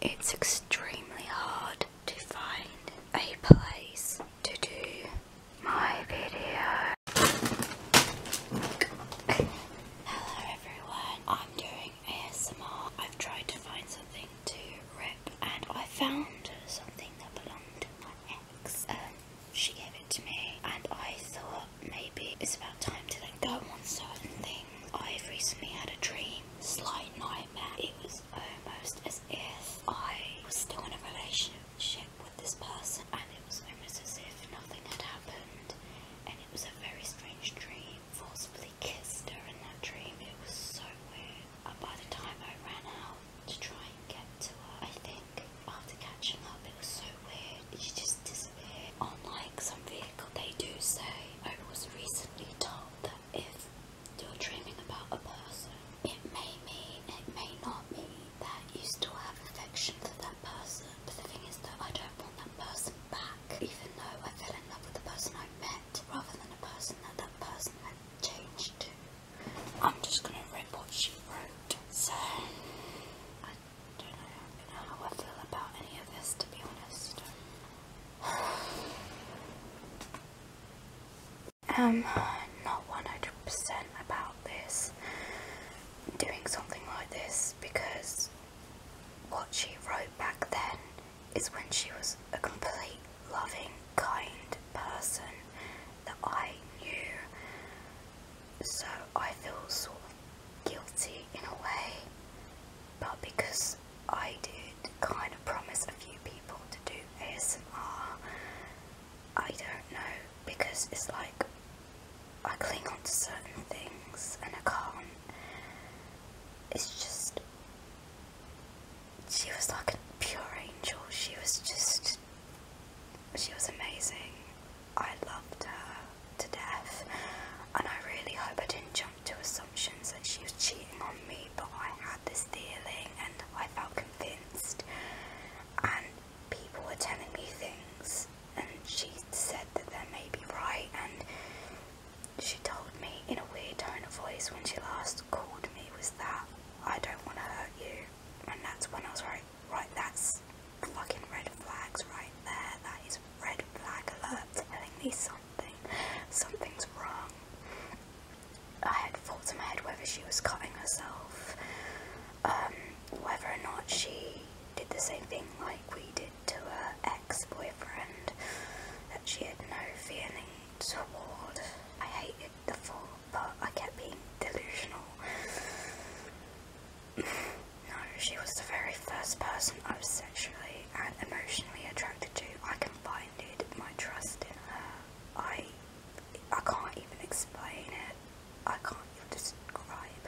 It's extremely hard to find a place to do my video. Hello everyone, I'm doing ASMR. I've tried to find something to rip and I found something that belonged to my ex. Um, she gave it to me and I thought maybe it's about time to let letting go on certain things. I recently had a dream, slight nightmare. It was almost as if I was still in a relationship with this person and it was almost as if nothing had happened and it was a very strange dream. Forcibly kissed her in that dream. It was so weird. And by the time I ran out to try and get to her, I think after catching up it was so weird. She just disappeared. Unlike some vehicle, they do say I was recently told that if you're dreaming about a person, it may mean, it may not mean that you still have affection for that person. But the thing is that I don't want that person back, even though I fell in love with the person I met, rather than the person that that person had changed to. I'm just gonna read what she wrote. So, I don't know how I feel about any of this, to be honest i am um, not 100% about this, doing something like this, because what she wrote back then is when she was a complete loving, kind person that I knew. So I feel sort of guilty in a way, but because I did kind of promise a few people to do ASMR, I don't know, because it's like I cling on to certain things and I can't. It's just. She was like a pure angel. She was just. She was amazing. I loved her to death, and I really hope I didn't jump to assumptions that she was cheating on me, but I had this feeling and I felt convinced, and people were telling me things, and she said that they may be right, and she told me in a weird tone of voice when she last called me was that I don't want to hurt you, and that's when I was right, right, that's fucking red flags right there, that is red flag alert telling me something, something's wrong. I had thoughts in my head whether she was cutting herself, um, whether or not she did the same thing like we did to her ex-boyfriend, that she had no feeling toward. I hated the thought, but I kept being delusional. No, she was the very first person I was sexually and emotionally attracted to. I confided my trust in her. I, I can't even explain it. I can't even describe.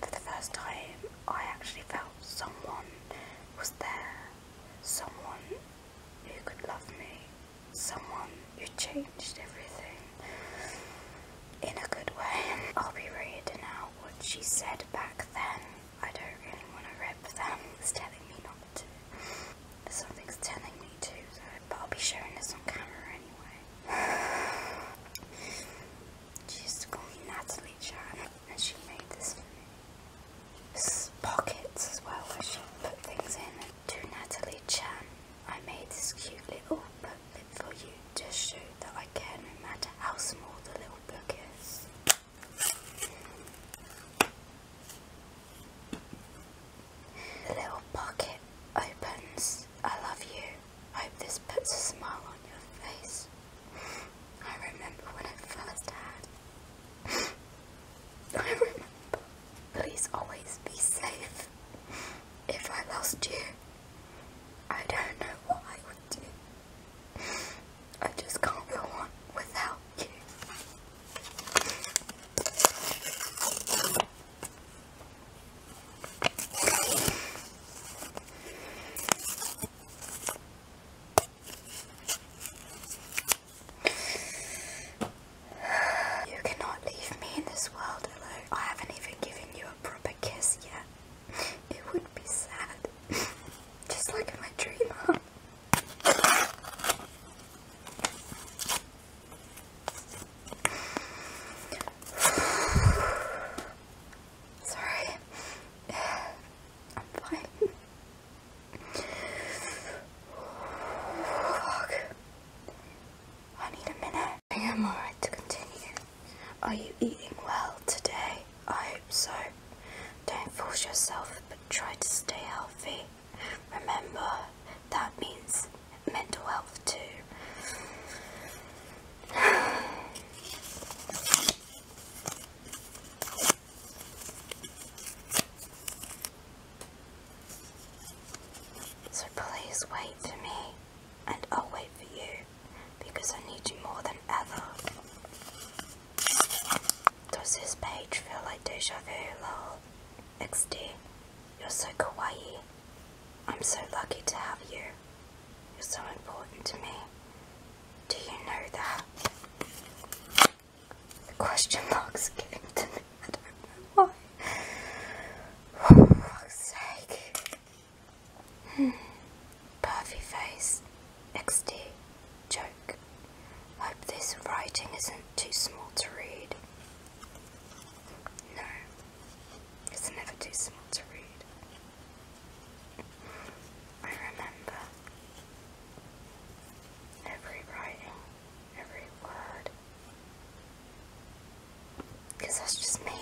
For the first time, I actually felt someone was there. Someone who could love me. Someone who changed everything in a good way. I'll be reading out what she said back then. I don't really want to rip them. It's telling me not to. Something's telling me to, though. But I'll be showing this on camera anyway. she used to call me Natalie Chan, and she made This pockets as well, where she put things in. To Natalie Chan, I made this cute little but live for you to show that I care no matter how small the little book is. The little pocket opens. I love you. Hope this puts a smile on your face. I remember when I first had. I remember. Please always be safe. If I lost you, I don't know what I would do. I just can't go on without you. You cannot leave me in this world alone. I haven't even given you a proper kiss yet. It would be sad. Just like in my dream Sorry. I'm fine. Fuck. I need a minute. I am alright to continue. Are you eating well today? I hope so. Don't force yourself, but try to stay healthy. Remember, that means mental health too. So please wait for me and I'll wait for you because I need you more than ever. Does this page feel like deja vu, lol? XD, you're so kawaii. I'm so lucky to have you. You're so important to me. Do you know that? The question marks given to me. I don't know why. For fuck's sake. Hmm. face. XD. Joke. Hope this writing isn't too small to read. No. It's never too small to read. I remember every writing, every word, because that's just me.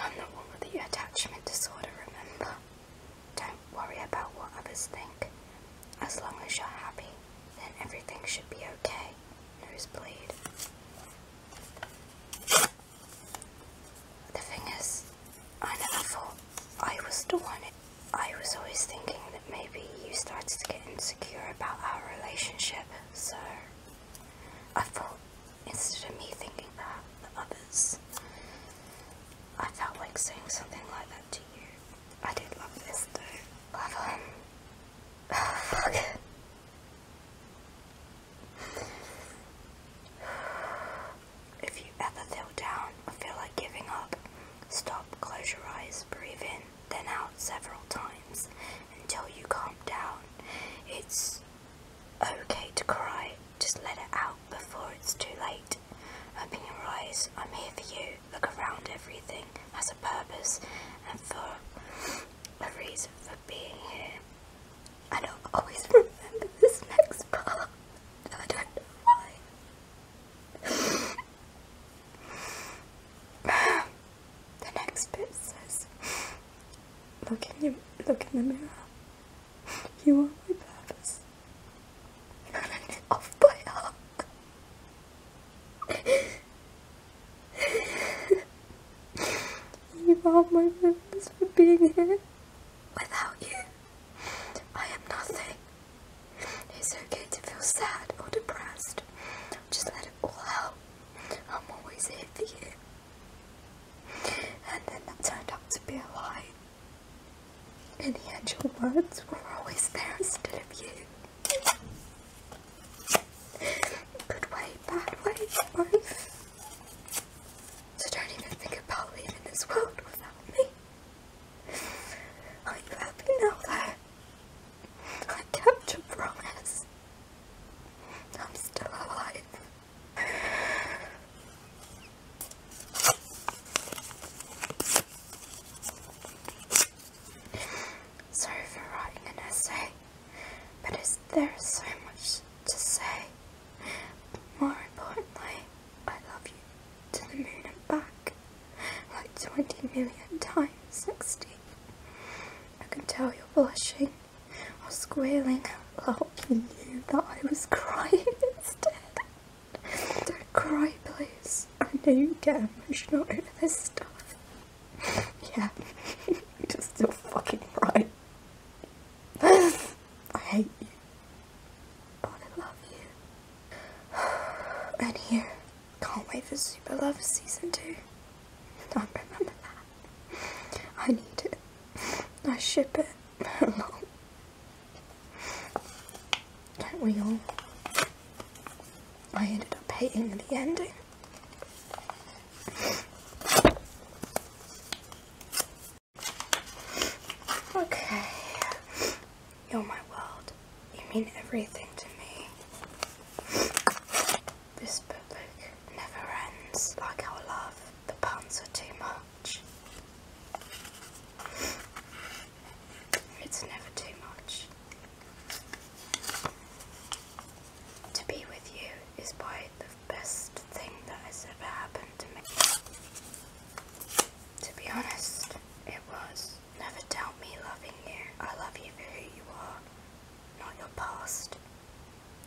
I'm the one with the attachment disorder, remember? Don't worry about what others think. As long as you're happy, then everything should be okay. Nosebleed. The thing is, I never thought I was the one I was always thinking that maybe you started to get insecure about our relationship, so I thought instead of me thinking that, the others, I felt like saying something like that to you. I did love this though. Love him. Oh, fuck. If you ever feel down or feel like giving up, stop, close your eyes, breathe in, then out several times until you calm down. It's okay to cry, just let it out before it's too late. Open your eyes, I'm here for you. Look around, everything has a purpose and for a reason for being here. I don't always remember this next part. I don't know why. the next bit says, look in, your, look in the mirror. You are my purpose. You I'm off you are my purpose for being here. Without you, I am nothing. It's okay to feel sad or depressed. Just let it all out. I'm always here for you. And then that turned out to be a lie. In the end, your words were always there instead of you. Good way, bad way, both. So don't even think about leaving this world without me. I hope you know that. I kept a promise. I'm still alive. Sorry for writing an essay, but is so much to say? More importantly, I love you to the moon and back, like twenty million times sixty. I can tell you're blushing or squealing out loud. You knew that I was crying instead. Don't cry, please. I know you get emotional over this stuff. Yeah, you're just still fucking right. I hate you. I love you. And here, can't wait for Super Love Season 2. I remember that. I need it. I ship it. Don't we all? I ended up hating the ending. Okay. You're my world. You mean everything to me. This book never ends, like our love. The puns are too much. It's never too much. To be with you is by the best thing that has ever happened to me. To be honest, it was. Never doubt me loving you. I love you for who you are, not your past.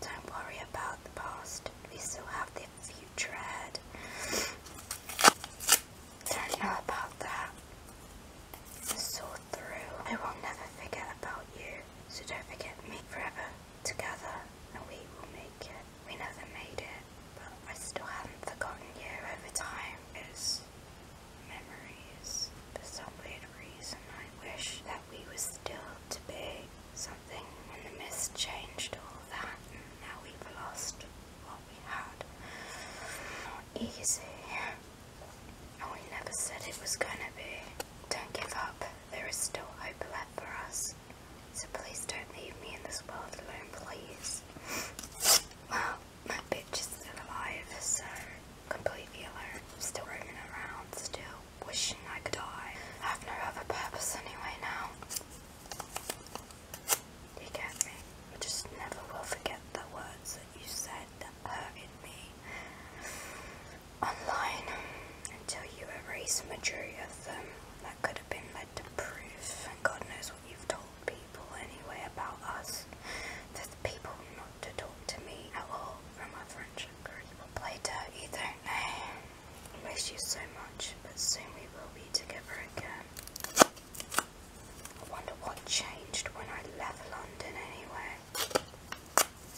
Don't worry about the past. We still have the future ahead. Don't know about that. Sort through. I will never forget about you. So don't forget me forever. Together, and we will make it. We never made it but I still haven't forgotten you over time. It's memories. For some weird reason, I wish that we were still to be something And the mist changed all that, now we've lost what we had. Not easy. And we never said it was gonna be. Don't give up. There is still hope left for us. So please don't leave me in this world alone, please. Well, my bitch is still alive, so completely alone. still roaming around, still wishing I could die. I have no other purpose anyway now. You get me? I just never will forget the words that you said that hurted me online until you erase majority of them that could have been had the God knows what you've told people anyway about us. There's people not to talk to me at all from our friendship group. What play dirt you I miss you so much, but soon we will be together again. I wonder what changed when I left London anyway.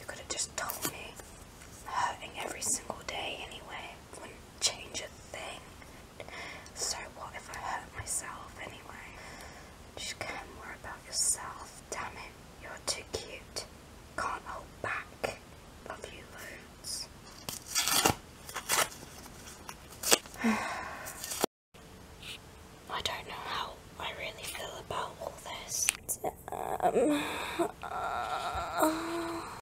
You could have just told me. Hurting every single day anyway wouldn't change a thing. So what if I hurt myself anyway? Just care more about yourself. Damn it, you're too cute. Can't hold back. Love you loads. I don't know how I really feel about all this. Um,